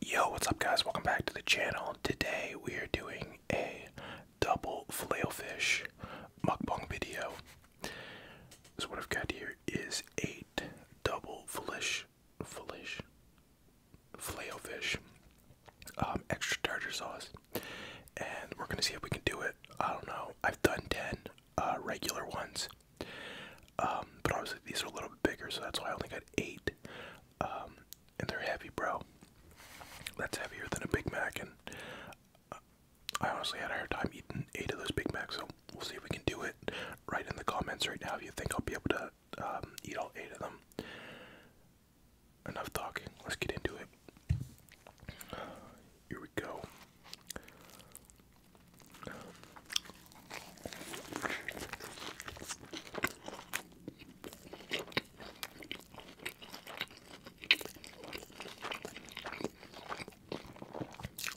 Yo, what's up guys? Welcome back to the channel. Today we are doing a double flailfish mukbang video. So what I've got here is eight double flish, flish, flailfish, um, extra tartar sauce. And we're gonna see if we can do it. I don't know. I've done 10 uh, regular ones. Um, but obviously these are a little bigger, so that's why I only got eight. Um, and they're heavy, bro. That's heavier than a Big Mac, and uh, I honestly had a hard time eating eight of those Big Macs. So we'll see if we can do it. Right in the comments right now, if you think I'll be able to um, eat all eight of them. Enough talking. Let's get into it. here we go.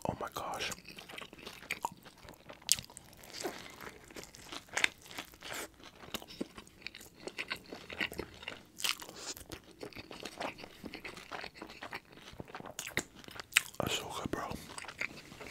Oh, my gosh. That's so good, bro.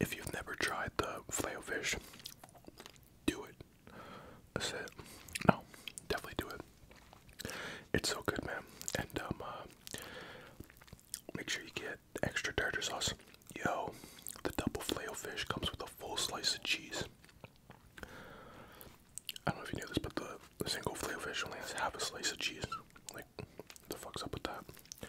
If you've never tried the flail fish, do it. That's it. No, definitely do it. It's so good, man. And um, uh, make sure you get extra tartar sauce. Yo, the double flail fish comes with a full slice of cheese. I don't know if you knew this, but the, single flail fish only has half a slice of cheese. Like, what the fuck's up with that?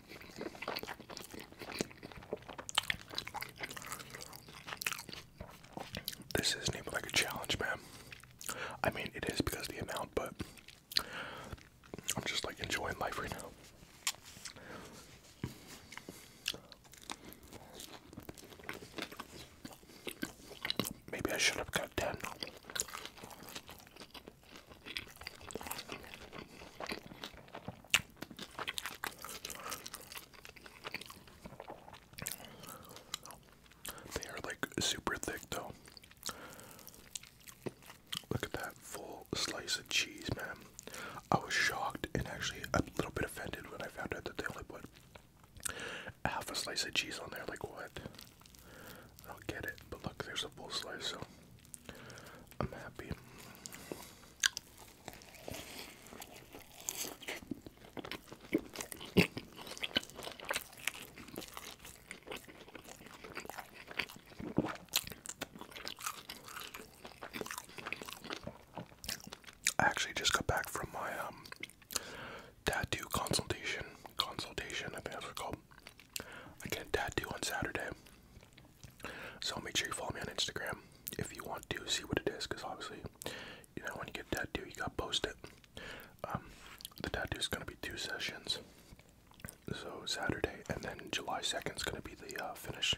This isn't even like a challenge, man. I mean, it is because of the amount, but I'm just like enjoying life right now. Maybe I should have got 10. They are like super thick though. Look at that full slice of cheese, man. I was shocked and actually a little bit offended when I found out that they only put half a slice of cheese on there. Like, what? I will get it. But look, there's a full slice, so I'm happy. I actually just got back from my um, tattoo consultation. Consultation, I think that's what it's called. I get a tattoo on Saturday. So make sure you follow me on Instagram if you want to see what it is, because obviously, you know, when you get a tattoo, you gotta post it. Um, the tattoo is gonna be two sessions, so Saturday and then July second is gonna be the uh, finish.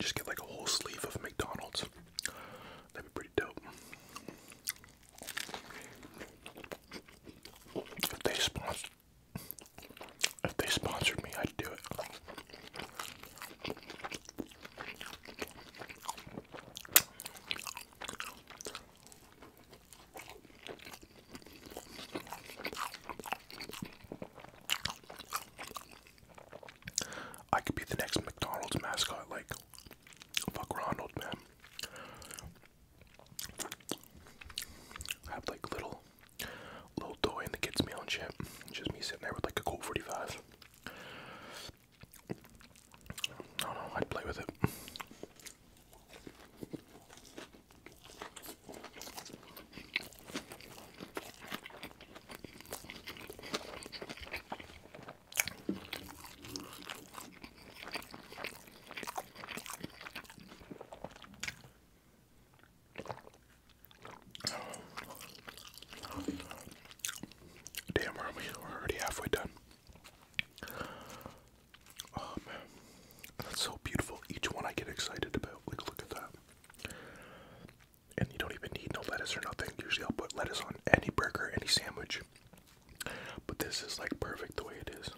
Just get like a whole sleeve of McDonald's. That'd be pretty dope. If they sponsored if they sponsored me, I'd do it. I could be the next McDonald's mascot, like fuck Ronald, man. have like little, little toy in the kids' meal and shit. just me sitting there with like a Colt 45. I don't know, i play with it. Damn, are we? We're already halfway done. Oh man. That's so beautiful. Each one I get excited about. Like, look at that. And you don't even need no lettuce or nothing. Usually I'll put lettuce on any burger, any sandwich. But this is like perfect the way it is.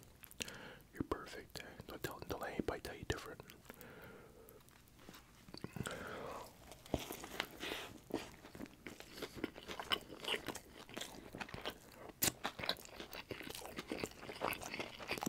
You're perfect. Don't tell, don't let anybody tell you different.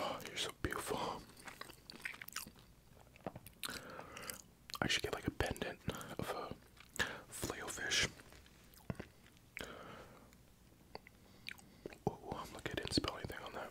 Oh, you're so beautiful. I should get like a pendant of a uh, flail fish. Ooh, I'm lucky didn't spell anything on that.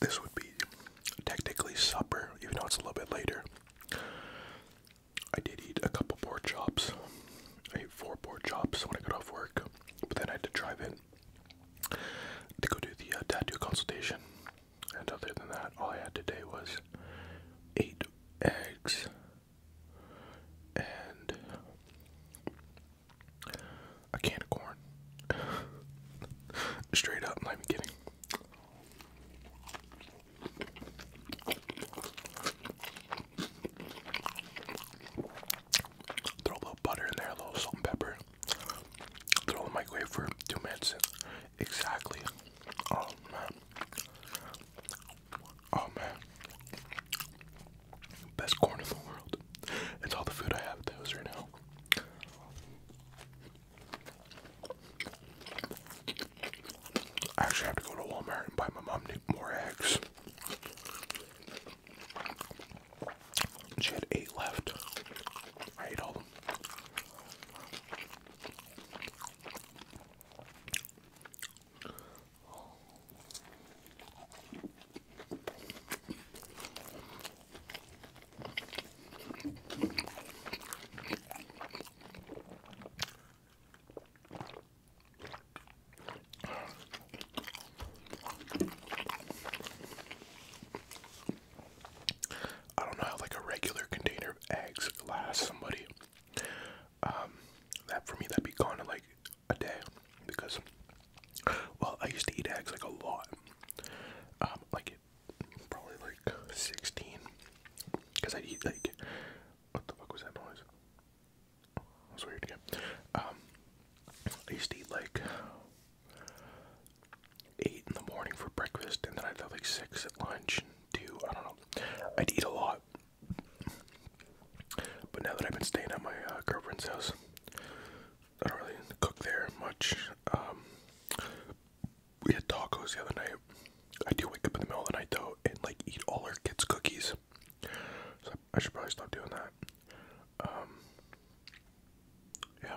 This would be technically supper, even though it's a little bit later. I did eat a couple pork chops. I ate four pork chops when I got off work, but then I had to drive in to go do the uh, tattoo consultation. And other than that, all I had today was eight eggs and a can of corn. Straight up, not even kidding. Throw a little butter in there, a little salt and pepper. Throw in the microwave for two minutes, Exactly. Oh man. Oh man. Best corn in the world. It's all the food I have at right now. I actually have to go to Walmart and buy my mom more eggs. She had eight left. I ate all them. I don't know how like a regular container of eggs lasts somebody um, that for me that'd be kind of like a day because well I used to eat eggs like a lot um, like probably like 16 because I'd eat like what the fuck was that noise that was weird again um I used to eat like eight in the morning for breakfast and then I'd eat like six at lunch and two I don't know I'd eat a lot but now that I've been staying at my uh, girlfriend's house, I don't really cook there much. Um, we had tacos the other night. I do wake up in the middle of the night though and like eat all our kids' cookies. So I should probably stop doing that. Um, yeah.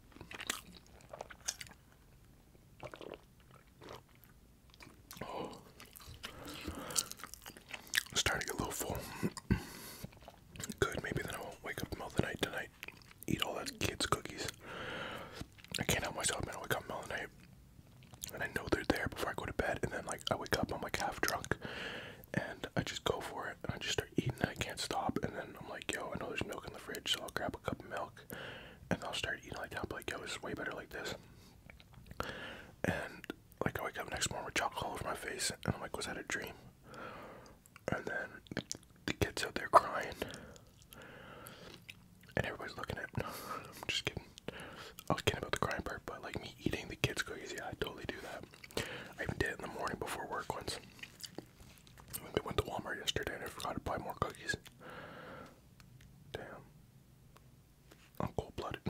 Starting to get a little full. Good, maybe then I won't wake up middle of the night tonight. Eat all that kids' cookies. I can't help myself, man. I wake up in middle of the night and I know they're there before I go to bed, and then like I wake up, I'm like half drunk, and I just go for it, and I just eating I can't stop. And then I'm like, yo, I know there's milk in the fridge, so I'll grab a cup of milk and I'll start eating like that. But am like, yo, it's way better like this. And like I wake up next morning with chocolate all over my face, and I'm like, was that a dream? And then the kids out there crying, and everybody's looking at. Me. I'm just kidding. I was kidding about the crying part, but like me eating the kids' cookies, yeah, I totally do that. I even did it in the morning before work once. I went to Walmart yesterday and I forgot to buy more cookies. Damn. I'm cold blooded.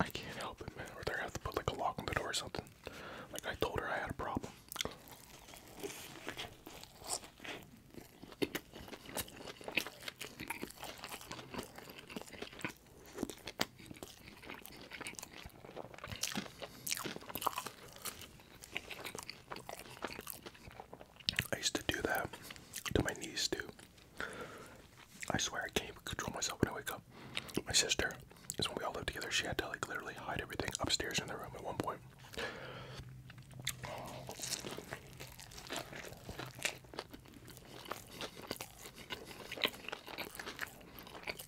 I can't help it, man. Or are gonna have to put like a lock on the door or something. Like I told her I had a problem. I used to do that to my knees too. I swear I can't control myself when I wake up. My sister is when we all lived together. She had to like literally hide everything upstairs in the room at one point.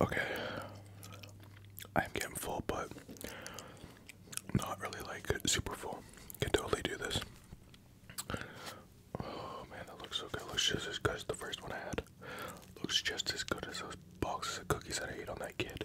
Okay. I'm getting full, but not really like super full. Can totally do this. Oh man, that looks so good. Looks just the first one I had. Looks just as good as those boxes of cookies that I ate on that kid.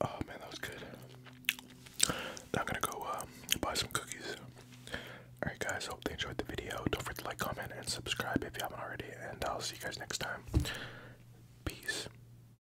Oh man, that was good. Now I'm gonna go uh, buy some cookies. Alright, guys, hope you enjoyed the video. Don't forget to like, comment, and subscribe if you haven't already. And I'll see you guys next time. Peace.